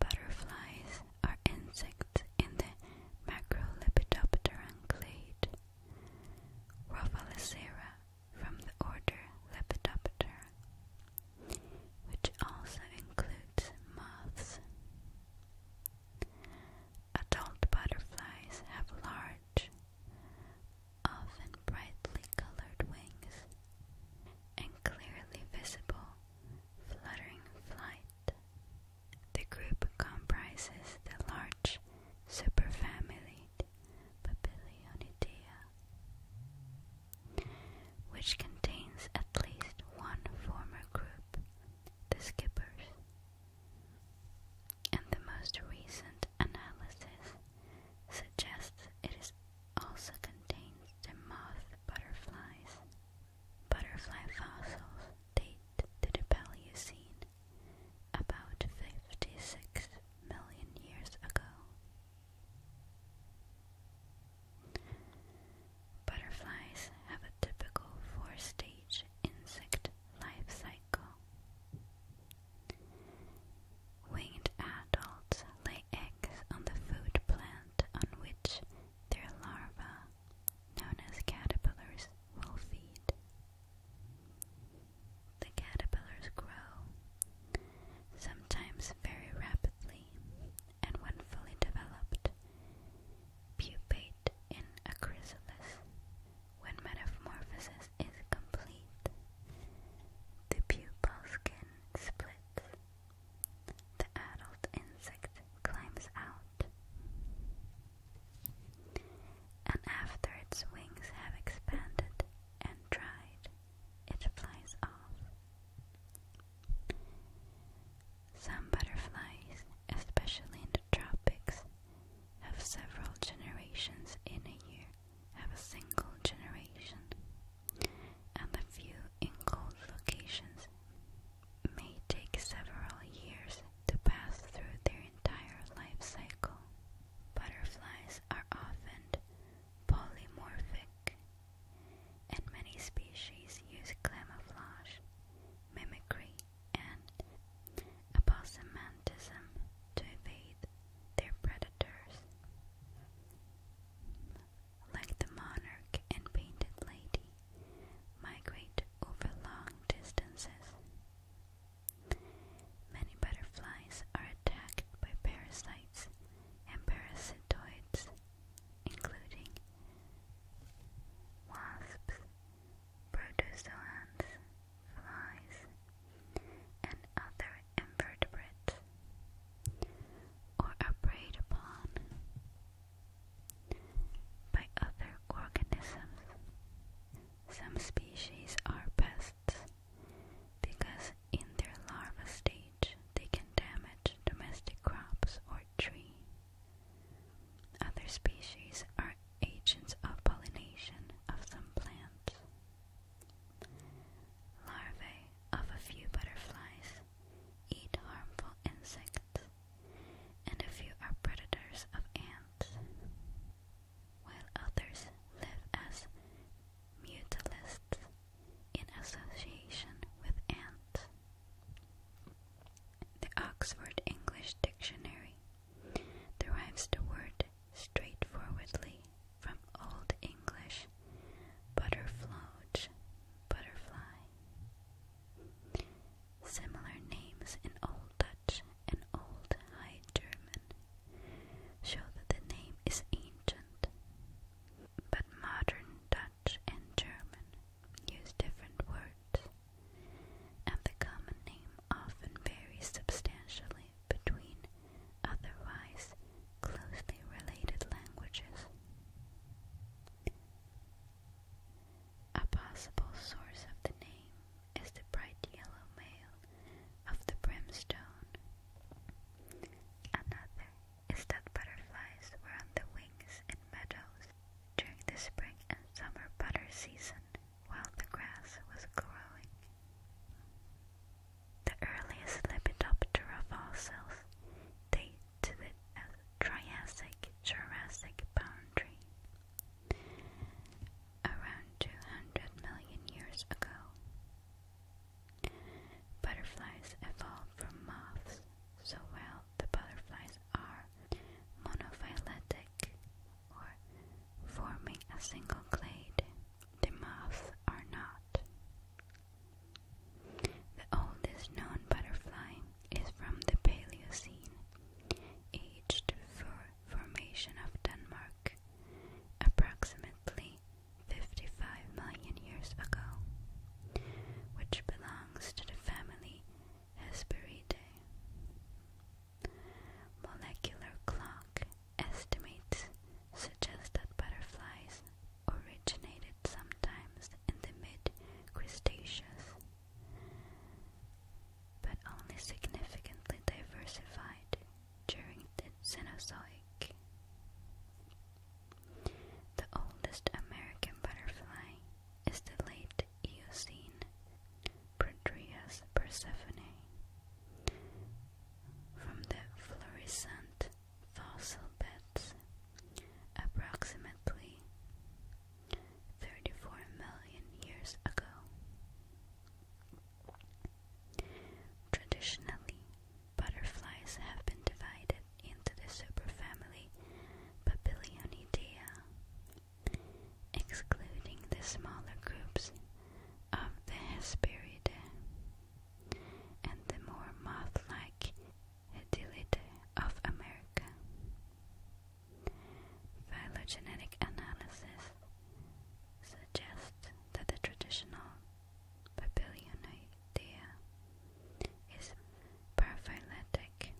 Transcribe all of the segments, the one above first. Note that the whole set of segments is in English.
Butterflies are insects in the Macrolepidopteran clade. Rovalicera from the order Lepidoptera, which also includes moths. Adult butterflies have large, often brightly colored wings and clearly visible fluttering flight. The group comprises the large superfamily Papilionidae, which contains at least one former group, the skippers. And the most recent analysis suggests it is also contains the moth butterflies. Butterfly fossils date to the Paleocene, about 56 million years ago. Butterflies have a typical four-stage insect life cycle. Winged adults lay eggs on the food plant on which their larvae, known as caterpillars, will feed. The caterpillars grow, sometimes very rapidly, and when fully developed, pupate in a chrysalis. When metamorphosis is complete, the pupal skin splits the adult insect climbs out, and after its wings have expanded and dried, it flies off. Some butterflies, especially in the tropics, have several generations in a year, have a single generation and the few in cold locations may take several years to pass through their entire life cycle. Butterflies are often polymorphic, and many species use camouflage, mimicry, and aposematism to evade their predators like the monarch and painted lady, migrate over long distances. Many butterflies are attacked by parasites and parasitoids, including wasps, protozoans, flies, and other are invertebrate or are preyed upon by other organisms. Some species are pests because in their larva stage they can damage domestic crops or tree. Other species are agents of pollination of some plants. Larvae of a few butterflies eat harmful insects, and a few are predators of ants, while others live as mutualists in association with ants. The Oxford English Dictionary derives the word straightforwardly from Old English butterfloge, butterfly. Similar names in Old Dutch and Old High German show that the name is ancient, but modern Dutch and German use different words, and the common name often varies substantially between otherwise closely related languages. A possible source of the name is the bright yellow male of the brimstone. Another is that butterflies were on the wings in meadows during the spring and summer butter season while the grass was growing. The earliest Lepidoptera fossils date to the uh, Triassic Jurassic boundary around 200 million years ago. Butterflies evolved from moths, so while the butterflies are monophyletic or forming a single clade, the moths are not. The oldest known butterfly is from the Paleocene, aged for formation of Denmark, approximately 55 million years ago, which belongs to the family Hesperidae. Molecular clock estimates suggests that butterflies originated sometimes in the mid-Cretaceous, but only significantly diversified during the Cenozoic. The oldest American butterfly is the late Eocene Prodrius persephone from the Florissant fossil beds, approximately 34 million years ago. Traditionally, butterflies have been divided into the superfamily Papilionidae, excluding the smaller groups of the Hesperidae and the more moth-like hedilid of America. Phylogenetic analysis suggests that the traditional Papilionidea is paraphyletic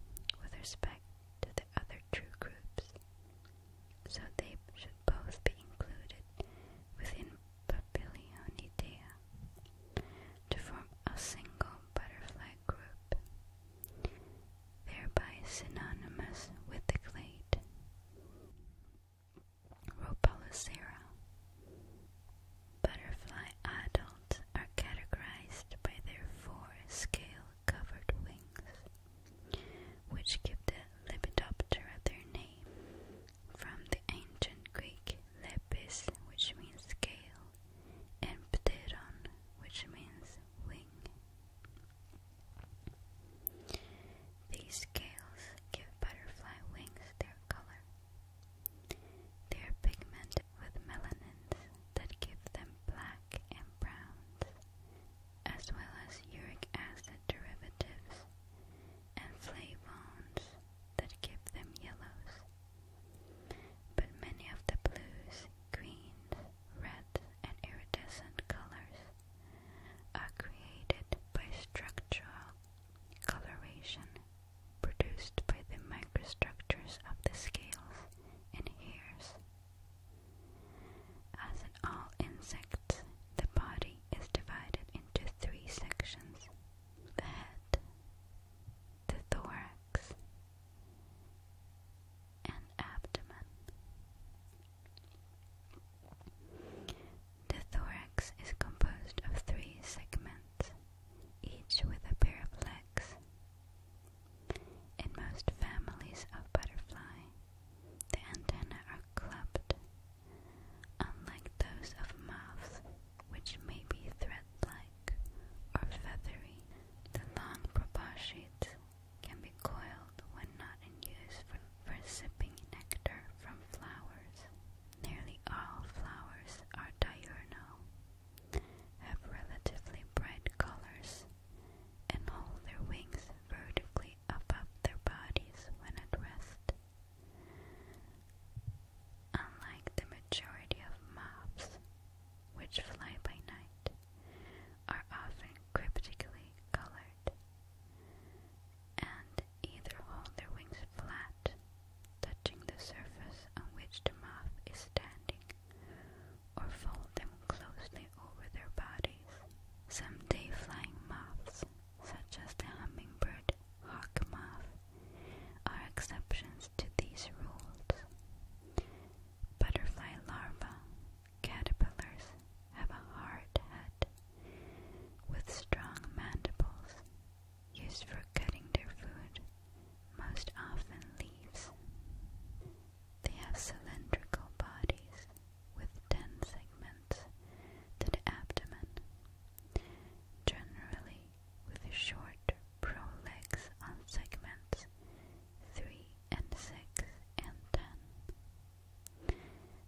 with respect to the other true groups, so they should both be included within Papilionidea, to form a single butterfly group, thereby synonymous with the clade Rhopalocera. Butterfly adults are categorized by their four scale-covered wings, which give the Lepidoptera their name. From the ancient Greek lepis, which means scale, and pteron, which means wing. These scales give butterfly wings their color. They are pigmented with melanins that give them black and browns, as well as uric acid derivatives and flavones that give them yellows. But many of the blues, greens, red, and iridescent colors are created by structural coloration produced by the microstructures of the scales and hairs. As in all insects, the body is divided into three sections the head, the thorax, and abdomen. The thorax is composed of three segments, each with a pair of legs. In most families of butterfly, the antennae are clubbed unlike those of moths, which may be thread-like or feathery. The long proboscides can be coiled when not in use for, for sipping nectar from flowers. Nearly all flowers are diurnal, have relatively bright colors, and hold their wings vertically above their bodies when at rest. Unlike the majority of moths, which fly by night, are often cryptically colored and either hold their wings flat, touching the surface on which the moth is standing, or fold them closely over their bodies. Some day flying moths such as the hummingbird hawkmoth, are exceptions to these rules. Butterfly larvae, caterpillars, have a hard head with strong mandibles used for cutting their food, most often leaves. They have cylindrical bodies with ten segments to the abdomen generally with short prolegs on segments 3 and 6 and 10.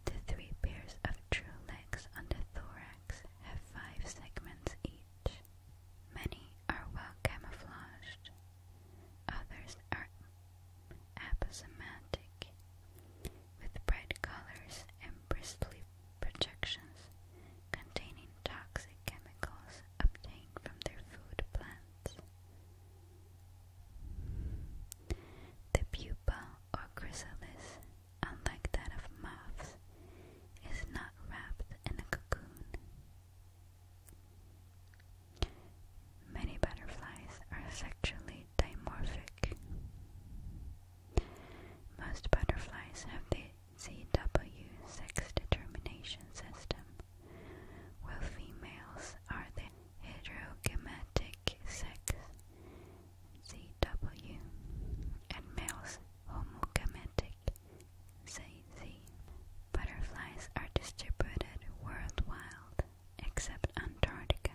The three pairs of true legs on the thorax have five segments each. Many are well camouflaged, others are aposematic with bright colors and bristly projections containing toxic chemicals obtained from their food plants. The pupa or chrysalis, unlike that of moths, is not wrapped in a cocoon. Many butterflies are sexually dimorphic. Most butterflies have the ZW sex determination system, while females are the heterogametic sex ZW and males homogametic ZZ. Butterflies are distributed worldwide except Antarctica.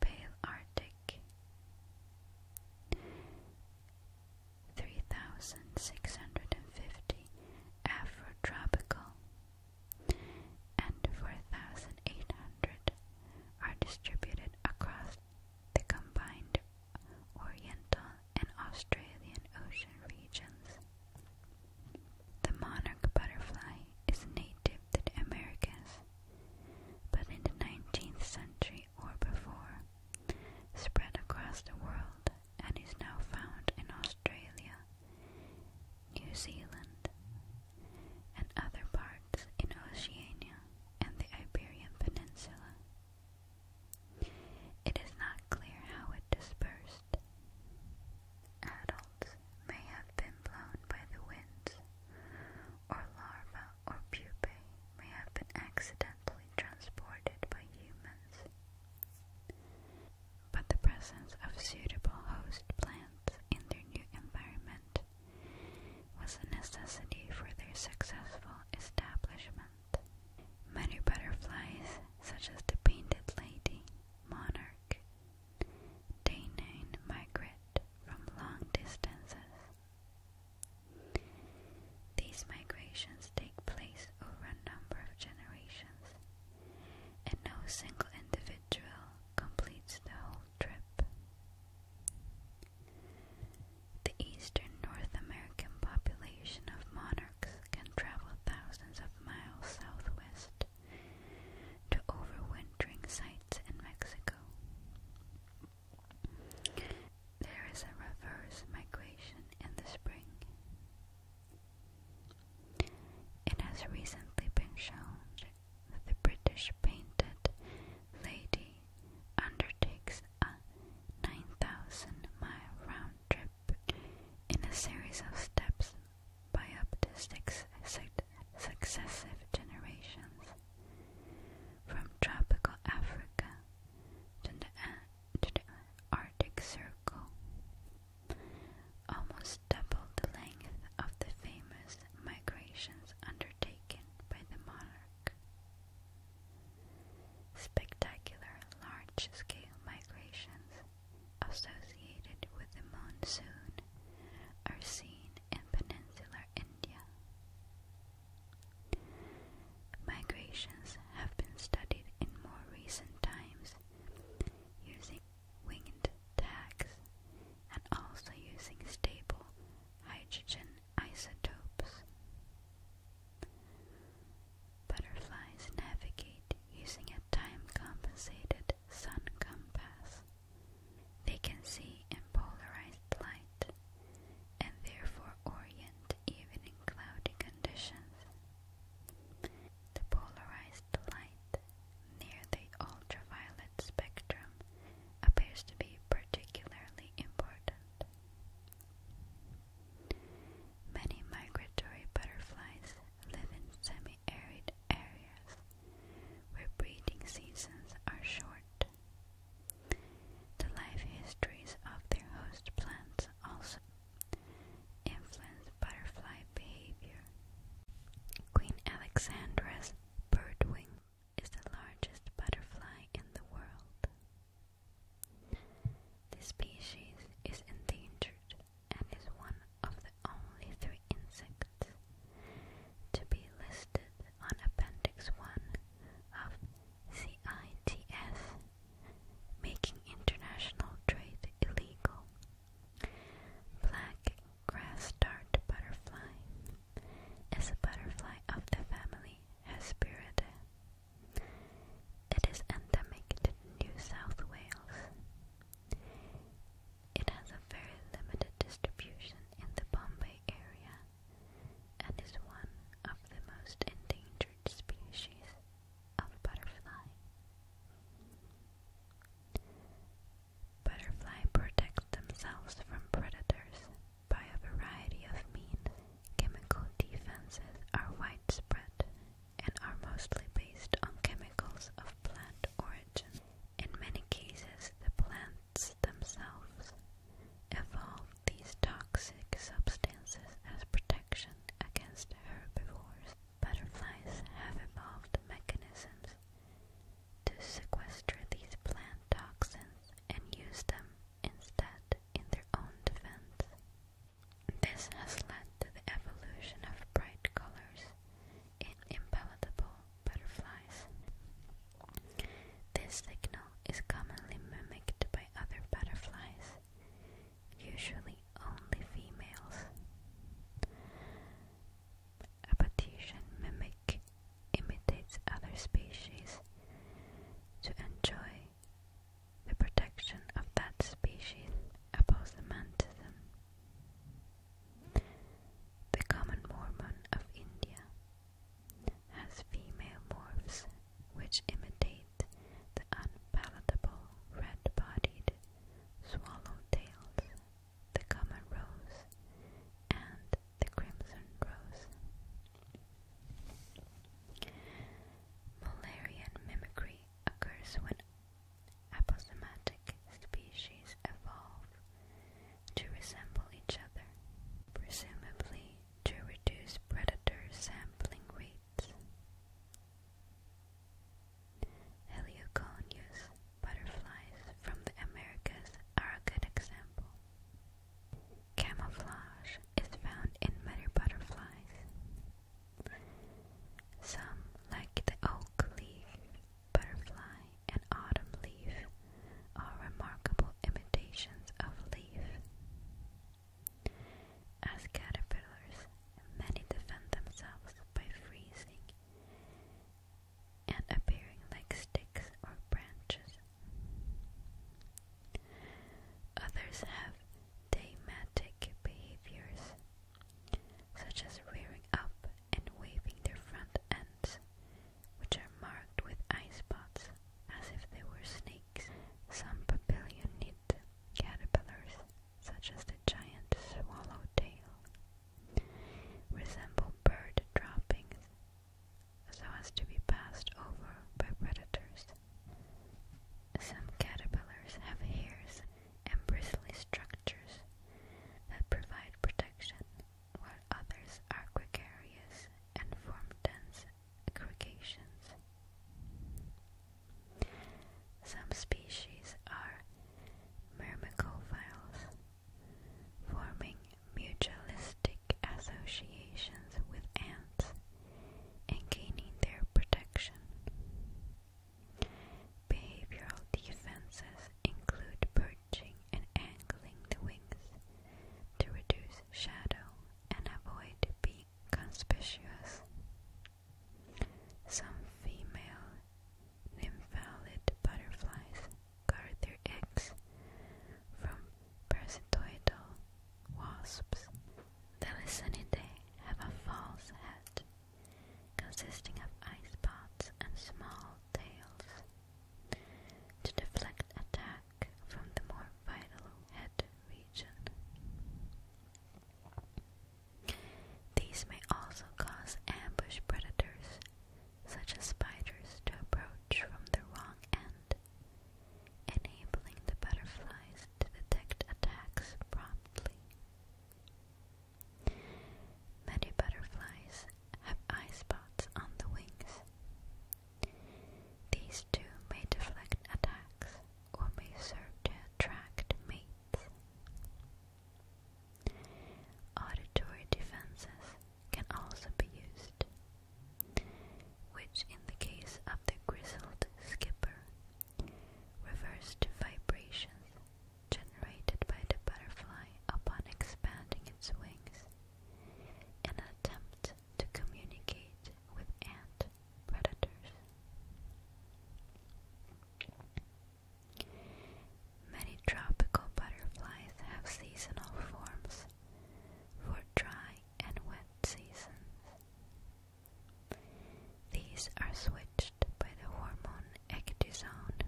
Pale Arctic, three thousand six hundred and fifty Afrotropical, and four thousand eight hundred are distributed across the combined Oriental and Australian ocean regions. The monarch butterfly is native to the Americas but in the 19th century or before, spread across the world and is now found in Australia, New Zealand, and other parts in Oceania and the Iberian Peninsula. It is not clear how it dispersed at all adults may have been blown by the wind, or larvae or pupae may have been accidentally transported by humans. But the presence of suitable host plants in their new environment was a necessity for their successful establishment. Many butterflies, such as the painted lady, monarch, Danine migrate from long distances. These migrations take place over a number of generations, and no single individual completes the whole trip. The eastern North American population of monarchs can travel thousands of miles southwest to overwintering sites in Mexico. There is a reverse migration in the spring. It has recently been shown that the British painted lady undertakes a 9,000 mile round trip in a series of steps by up to six successive generations, from tropical Africa uh, to the, Arctic Circle, almost double the length of the famous migrations undertaken by the monarch. Spectacular large-scale migrations associated with the monsoon are seen in peninsular India. Migrations have been studied in more recent times using winged tags and also using stable hydrogen isotopes. Butterflies navigate using a time compensated sun compass. They can see in polarized light and therefore orient even in cloudy conditions. The polarized light near the ultraviolet spectrum appears to be particularly important. Many migratory butterflies live in semi arid areas where breeding seasons are short. The life histories of their host plants also influence butterfly behavior. Queen Alexandra's birdwing is the largest butterfly in the world. This species is endangered and is one of the only three insects to be listed on Appendix 1 of CITS, making international trade illegal. Black grass dart butterfly is a butterfly of the family Hesperidae. It is endemic to New South Wales. It has a very limited distribution in the Bombay area and is one of the most endangered species of butterfly. Butterfly protect themselves from predators by a variety of means. Chemical defenses are widespread and are mostly based on chemicals of plant origin. In many cases, the plants themselves evolved these toxic substances as protection against herbivores. Butterflies have evolved mechanisms to sequester these plant toxins and use them instead in their own defense. This has led to the evolution of bright colors in impalatable butterflies. This signal is commonly mimicked by other butterflies, usually only females. A Batesian mimic imitates other species to enjoy the protection of that species. Opposed the common Mormon of India has female morphs which imitate the unpalatable red bodied swallowtails, the common rose, and the crimson rose. Mullerian mimicry occurs when Aposematic species evolve to resemble each other, presumably to reduce predator sampling rates. Helioconius butterflies from the Americas are a good example. Camouflage is found in many butterflies. Some, like the oak leaf butterfly, and autumn leaf are remarkable imitations of leaf. As caterpillars, many defend themselves by freezing and appearing like sticks or branches. Others have dramatic behaviors such as rearing up and waving their front ends, which are marked with eye spots as if they were snakes. Some papilionid caterpillars, such as the giant swallowtail, resemble bird droppings so as to be passed over by predators. Some caterpillars have hairs and bristly structures that provide protection, while others are gregarious and form dense aggregations. Some species are myrmecophiles, forming mutualistic associations with ants and gaining their protection. Behavioral defenses include perching and angling the wings to reduce shadow and avoid being conspicuous. Some female nymphalid butterflies guard their eggs from parasitoid wasps. The Lucinidae have a false head consisting of ice pods and small tails, to deflect attack from the more vital head region. These may also cause ambush predators, such as spiders, to approach from the wrong end, enabling the butterflies to detect attacks promptly. Many butterflies have eye spots on the wings. These too may deflect attacks or may serve to attract mates. Auditory defenses can also be used, which in the case of the grizzled skipper refers to vibrations generated by the butterfly upon expanding its wings in an attempt to communicate with ant predators. Many tropical butterflies have seasonal forms for dry and wet seasons. These are switched by the hormone ecdysone.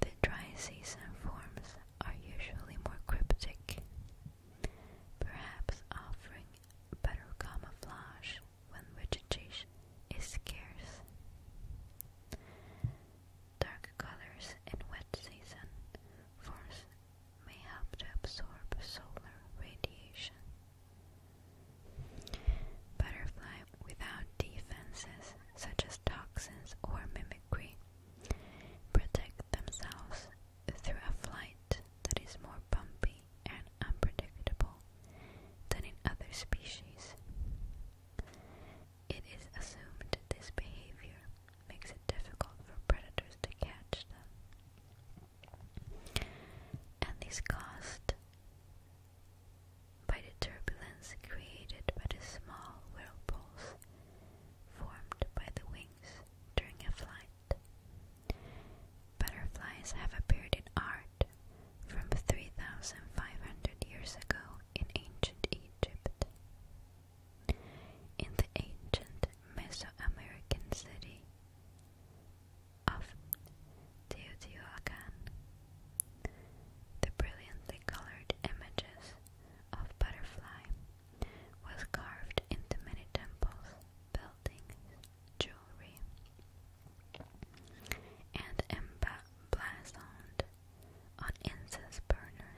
The dry season forms are usually more cryptic, perhaps offering better camouflage when vegetation is scarce. Dark colors in wet season forms may help to absorb solar radiation. Butterfly without defenses such as toxins or mimicry protect themselves through a flight that is more bumpy and unpredictable than in other species. It is assumed this behavior makes it difficult for predators to catch them. And this caused by the turbulence created by the small whirlpools formed by the wings during a flight. Butterflies have appeared in art from 3,500 years ago in ancient Egypt. In the ancient Mesoamerican city of Teotihuacan. The brilliantly colored images of butterfly was carved into many temples, buildings, jewelry, and emblazoned on incense burner.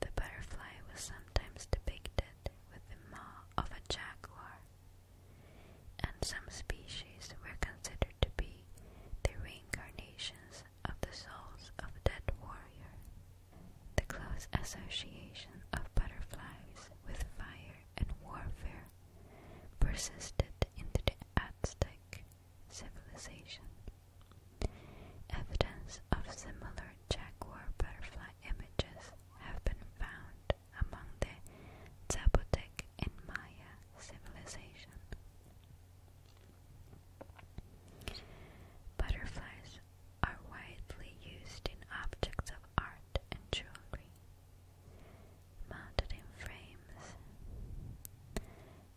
The butterfly was sometimes depicted with the maw of a jaguar and some species were considered to be the reincarnations of the souls of dead warriors. The close association of butterflies with fire and warfare persisted into the Aztec civilization. Evidence of similar jaguar butterfly images have been found among the Zapotec and Maya civilization. Butterflies are widely used in objects of art and jewelry, mounted in frames,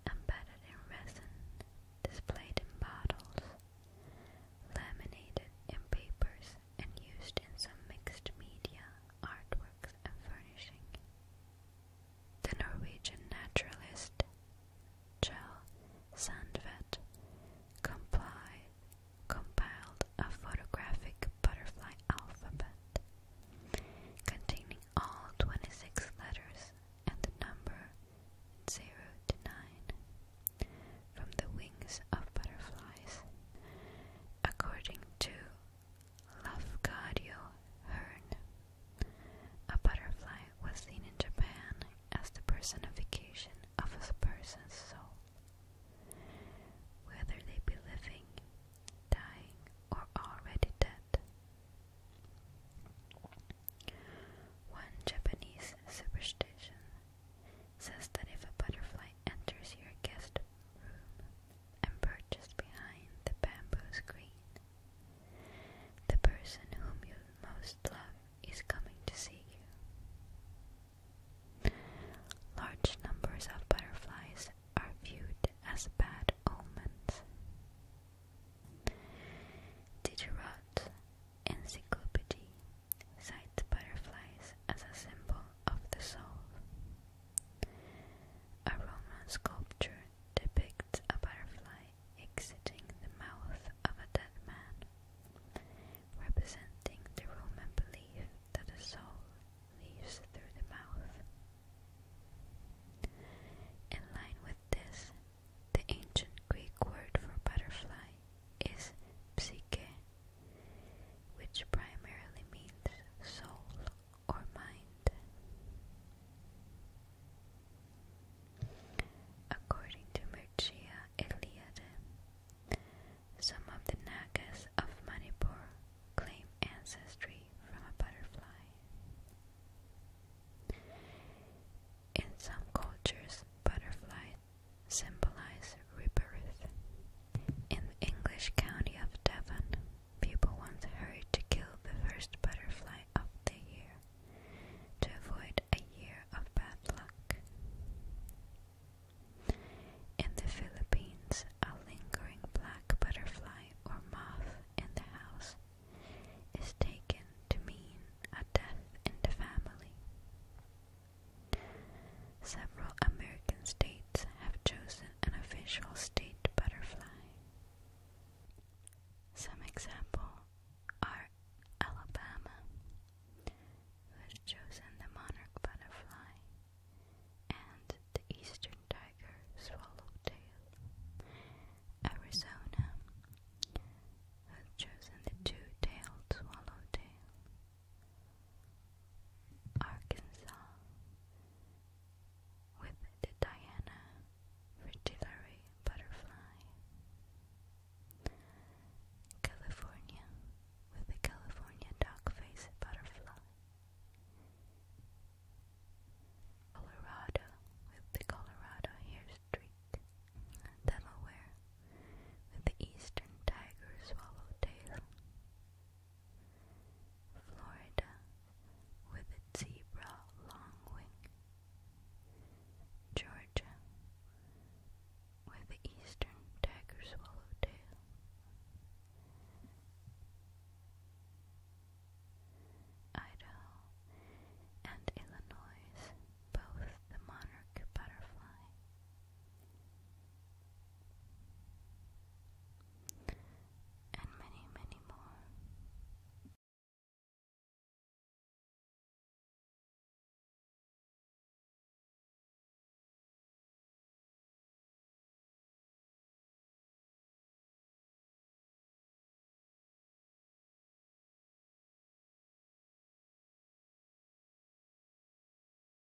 embedded in resin, displayed in bottles, laminated in papers and used in some mixed media artworks and furnishing. The Norwegian naturalist Kjell Sandvet complied compiled a photographic butterfly alphabet containing all 26 letters and the number 0 to 9 from the wings of butterflies. According to Lafcadio Hearn. A butterfly was seen in Japan as the personification of a person's soul. Whether they be living, dying, or already dead. One Japanese superstition says that if a butterfly enters your guest room, and perched behind the bamboo screen. The person whom you most love is coming to see you. Large numbers of butterflies are viewed as bad omens. Diderot Encyclopedia cites butterflies as a symbol of the soul. A Roman sculpture depicts a butterfly exiting the mouth of a dead man, representing the Roman belief that the soul leaves through the mouth. In line with this, the ancient Greek word for butterfly is psyche, which primarily means soul or mind. According to Mircea Eliade, some of the Nagas of Manipur claim ancestry from a butterfly. In some cultures, butterfly symbolize in the English county of Devon, people once hurried to kill the first butterfly of the year to avoid a year of bad luck. In the Philippines, a lingering black butterfly or moth in the house is taken to mean a death in the family. Several American states have chosen an official state butterfly. Some examples are Alabama, who has chosen the monarch butterfly, and the eastern tiger swallowtail. Arizona, who has chosen the two-tailed swallowtail. Arkansas with the Diana fritillary butterfly. California with the California dogface butterfly. Colorado with the Colorado hair streak. Delaware with the eastern tiger swallowtail. Florida with its zebra longwing, Georgia with the eastern tiger swallowtail, Idaho and Illinois, both the monarch butterfly and many, many more.